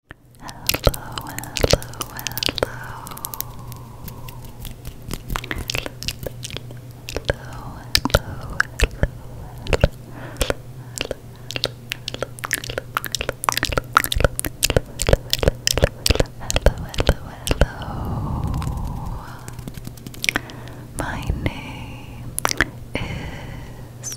hello, hello, hello, hello, hello, hello, hello, my name is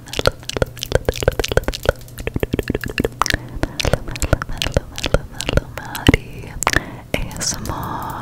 Melody ASMR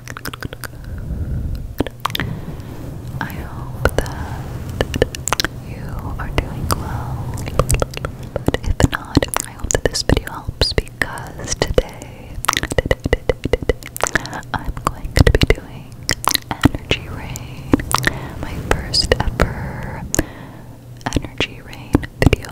I hope that you are doing well. if not, I hope that this video helps because today, today I'm going to be doing energy rain. My first ever energy rain video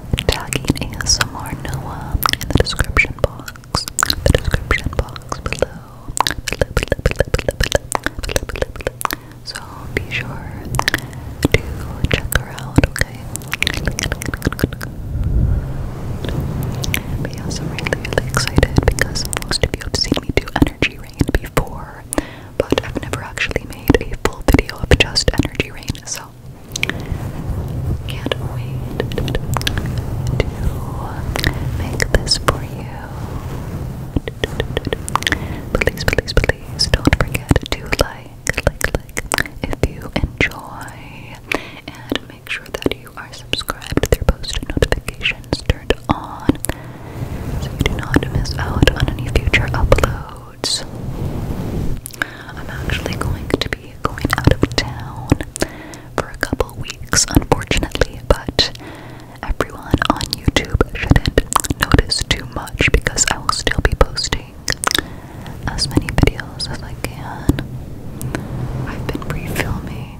tagging ASMR Noah in the description box. The description box below. So be sure to check her out, okay? But yes, also am really, really excited because most of you have seen me do Energy Rain before, but I've never actually made a full video of just Energy Rain, so can't wait to make this for you. Please, please, please don't forget to like, like, like if you enjoy. And make sure that you are subscribed with your post notifications turned on so you do not miss out on any future uploads. I'm actually going to be going out of town for a couple weeks, unfortunately, but everyone on YouTube shouldn't notice too much because I will still be posting as many videos as I can. I've been pre filming,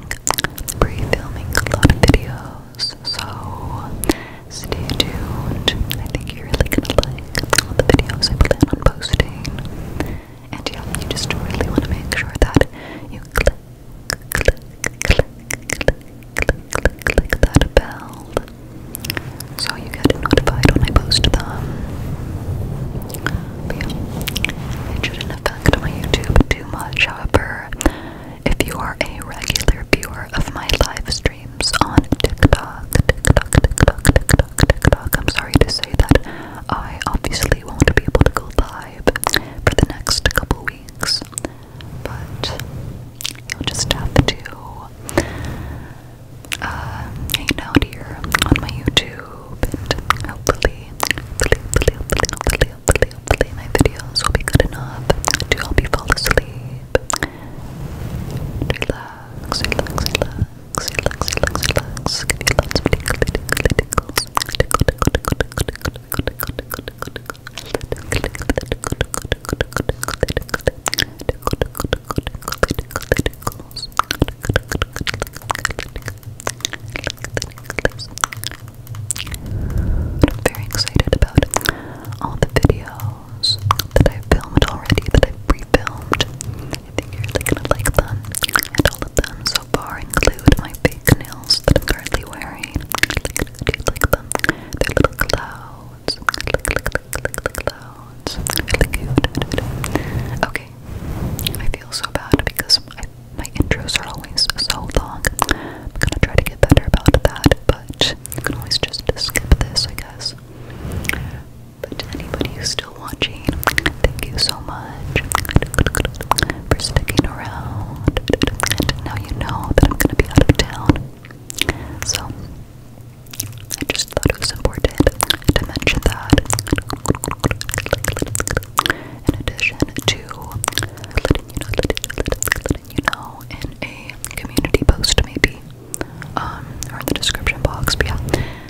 a lot of videos, so stay tuned. I think you're really gonna like all the videos I plan on posting. And yeah, you just really want to make sure that you click, click, click, click, click, click, click that bell so you get notified when I post them. But yeah, it shouldn't affect my YouTube too much. However, if you are a regular viewer of my live streams on TikTok, TikTok, TikTok, TikTok, TikTok, TikTok. I'm sorry to say that I obviously won't be able to go live for the next couple weeks, but you'll just have to uh, hang out here on my YouTube and hopefully, hopefully, hopefully, hopefully, hopefully, hopefully my videos will be good enough to help you fall asleep. Relax, relax, relax. I'm very excited about all the videos that I've filmed already, that I've pre-filmed. I think you're gonna like them. And all of them so far include my fake nails that I'm currently wearing. Okay. I feel so bad because my intros are always so long. I'm gonna try to get better about that, but you can always just skip this, I guess. But to anybody who's still watching, thank you so much for sticking around. And now you know that I'm gonna be out of town. So I just thought it was important to mention that. In addition to letting you know, letting you know in a community post maybe, um, or in the description box, but yeah,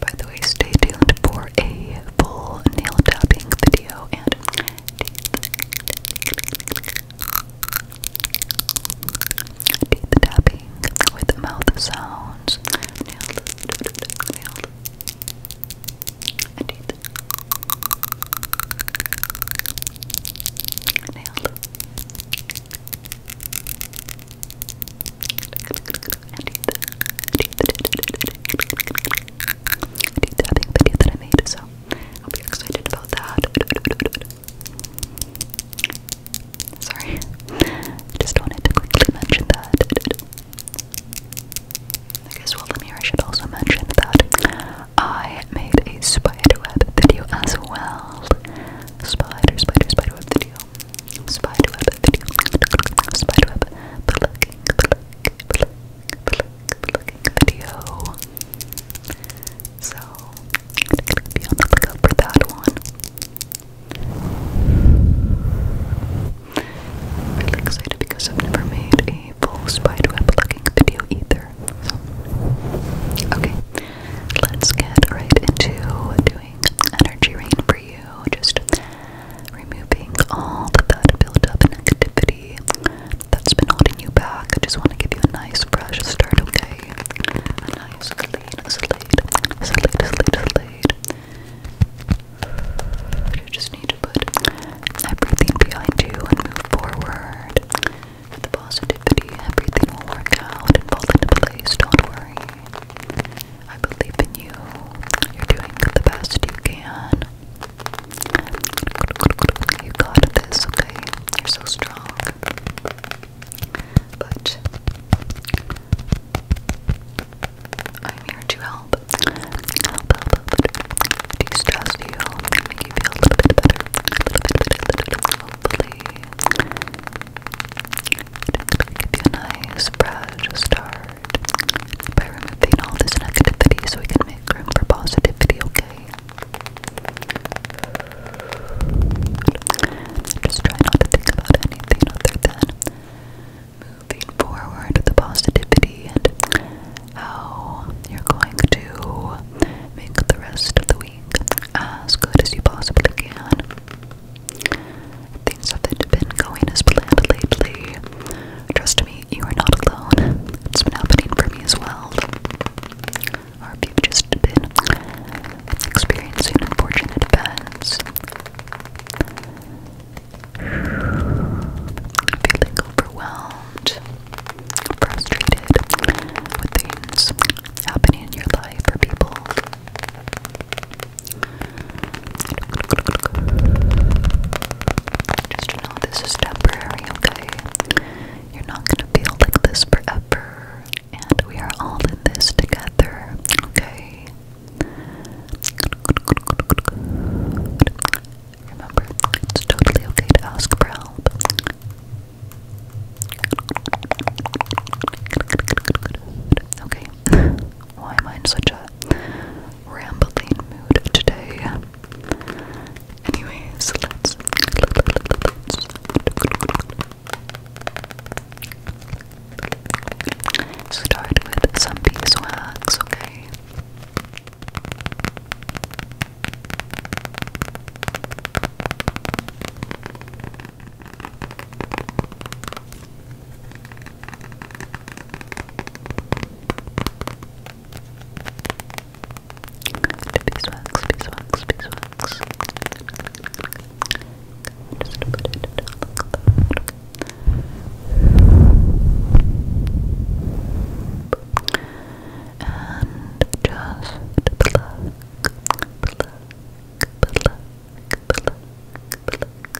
By the way, stay tuned for a full nail tapping video and teeth tapping with mouth sounds. Nailed, nailed, and teeth. Nailed think video that I made, so I hope you're excited about that. Sorry, I just wanted to quickly mention that. I guess while I'm here, I should also mention that I made a spiderweb video as well. Spider, spider, spiderweb video. Spiderweb video. Spiderweb. But looking, but pluck, pluck, pluck, plucking video. So be on the lookout for that one. I'm really excited because I've never made a full spiderweb plucking video either. okay. Let's get right into doing energy rain for you. Just removing all of that built-up and activity that's been holding you back. I just want to give you a nice, fresh start, okay? A nice, clean slate, slate, slate, slate. You just need to put everything behind you and move forward. With the positivity, everything will work out and fall into place. Don't worry. I believe in you. You're doing the best you can. You got this, okay? You're so strong. But I'm here to help. Help, help, De-stress you, make you feel better. A little bit, Hopefully, give you a nice, proud start by removing all this negativity so we can make room for positivity, okay? Just try not to think about anything other than moving forward with the positivity and how you're going to make the rest of the week as good as you possibly can. Things haven't been going as planned lately. Trust me, you are not alone. It's been happening for me as well. Or if you've just been experiencing unfortunate events, feeling overwhelmed, frustrated with things happening in your life or people. Just know this is temporary, okay? You're not gonna feel like this forever, and we are all in this together, okay? Remember, it's totally okay to ask for help. Okay, why am I in such a rambling mood today. Anyways, let's. start with some beeswax, okay? Beeswax, beeswax, beeswax. Just put it down and just pluck, pluck, pluck, pluck, pluck, pluck,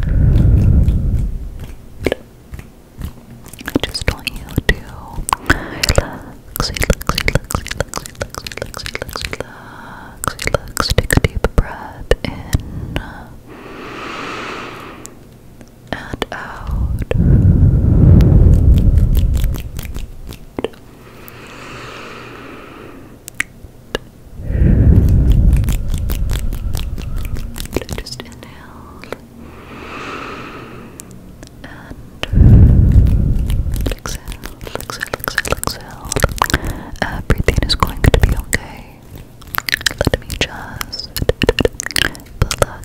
I just want you to relax, relax, relax, relax, relax, relax, relax, relax, Take a deep breath in and out. Just inhale and exhale, exhale, exhale, exhale. Everything is going to be okay. Let me just pluck,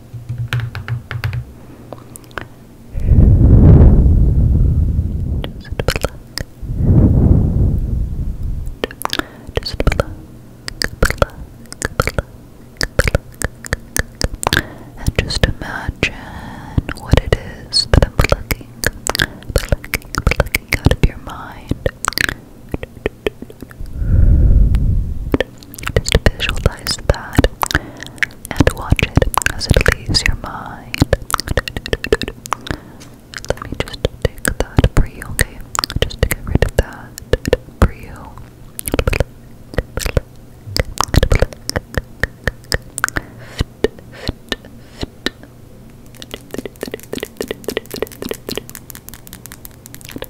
Just pluck, pluck, pluck, pluck. And just imagine what it is that I'm plucking, plucking, plucking out of your mind it. Just visualize that and watch it as it leaves your mind. Let me just take that for you, okay? Just to get rid of that for you.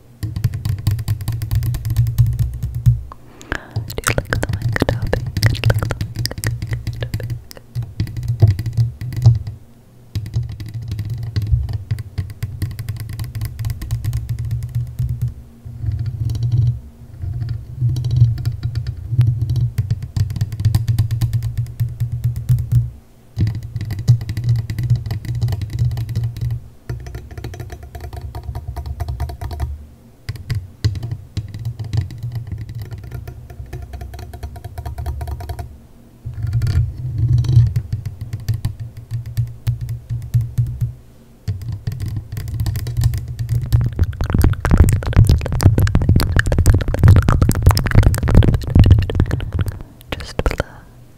Do you like the mic topic? Do you like the mic topic? Thank Just below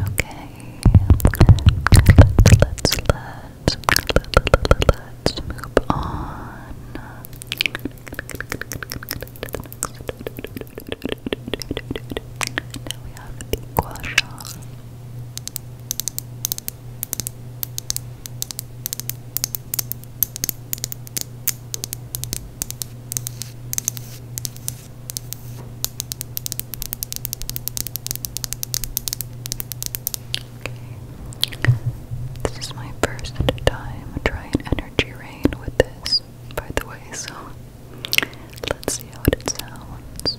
Okay. Let's let's let's move on. Now we have the gua Okay. This is my first time trying energy rain with this, by the way, so let's see how it sounds.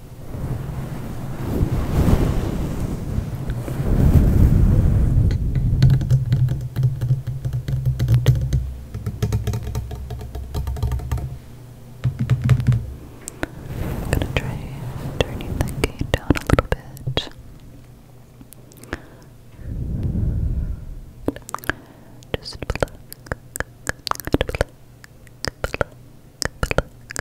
I'm gonna try turning the gate down a little bit. Just pluck, pluck, pluck, pluck,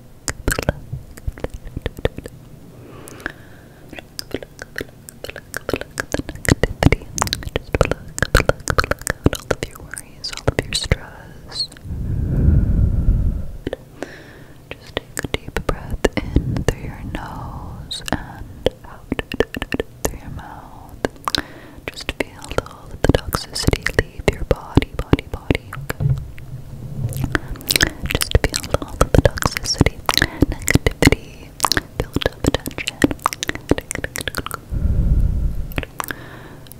out all of your worries, all of your stress. Just take a deep breath in through your nose and out through your mouth. Just feel all of the toxicity leave your body, body, body. Okay. Just feel all the toxicity, negativity, build up attention.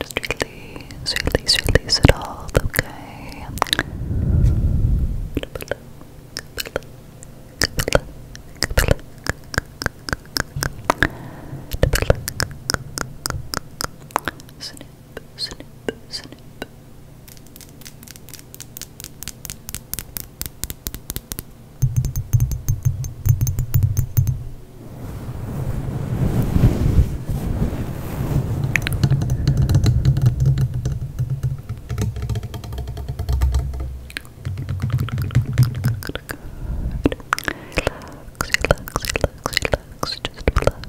Just release, release, release it all, okay? snip, snip. Relax, relax, relax, relax, just relax,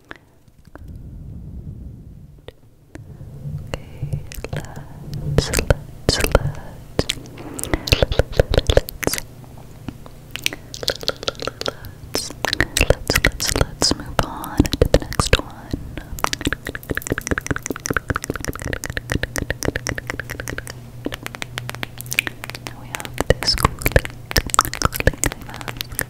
Okay, let's, let's, let's, let's, let's, let's, let's move on to the next one. Now we have this cool, cool mask.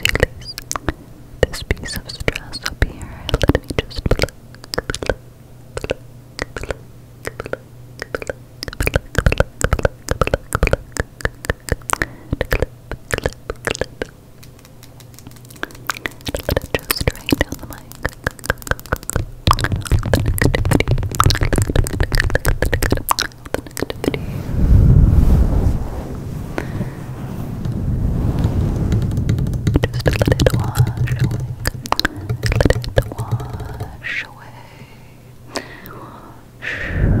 Release, release this piece of stress up here. Let me just pluck, pluck, pluck, pluck, pluck, pluck, pluck, pluck, pluck, pluck, clip, clip, clip, just right on the mic. The negativity. Just let it wash away. Let it wash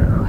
away. Wash away.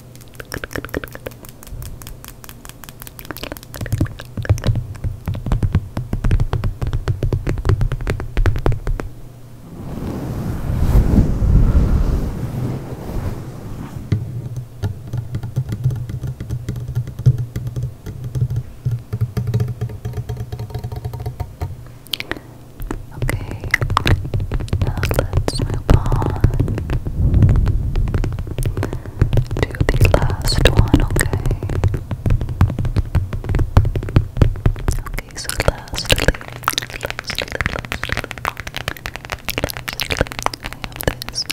Okay, now let's move on to the last one, okay? Okay, so lastly, lastly, lastly, lastly, I have this. Okay,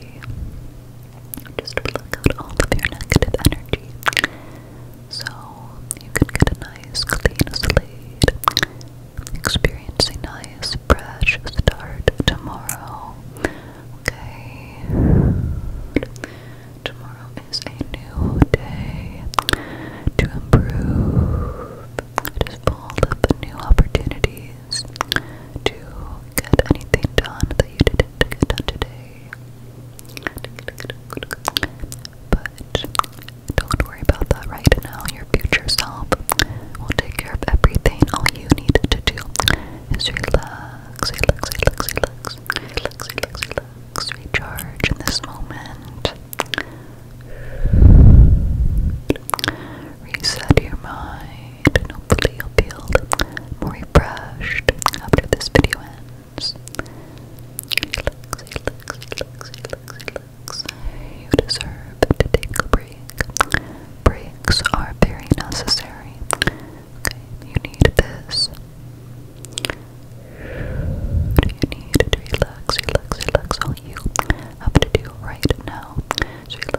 energy. Just pluck out all of your negative energy. So you can get a nice clean slate. Experience a nice fresh start tomorrow. Okay. Tomorrow is a new day to improve. It is full of new opportunities days to get anything done that you didn't get done today. But don't worry about that right now. Your future self will take care of everything. All you need to do is relax, relax, relax, relax, relax, relax, relax, recharge in this moment. Reset your mind hopefully you'll feel more refreshed after this video ends. You deserve to take a break. Breaks are very necessary. Okay, you need this. you need to relax, relax, relax? All you have to do right now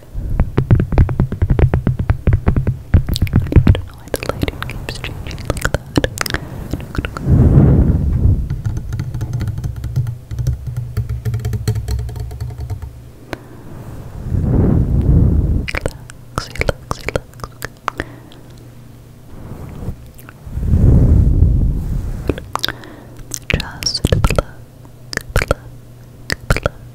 I don't know why the lighting keeps changing like that. Relax, relax, relax. Just pluck, pluck, pluck, pluck, pluck,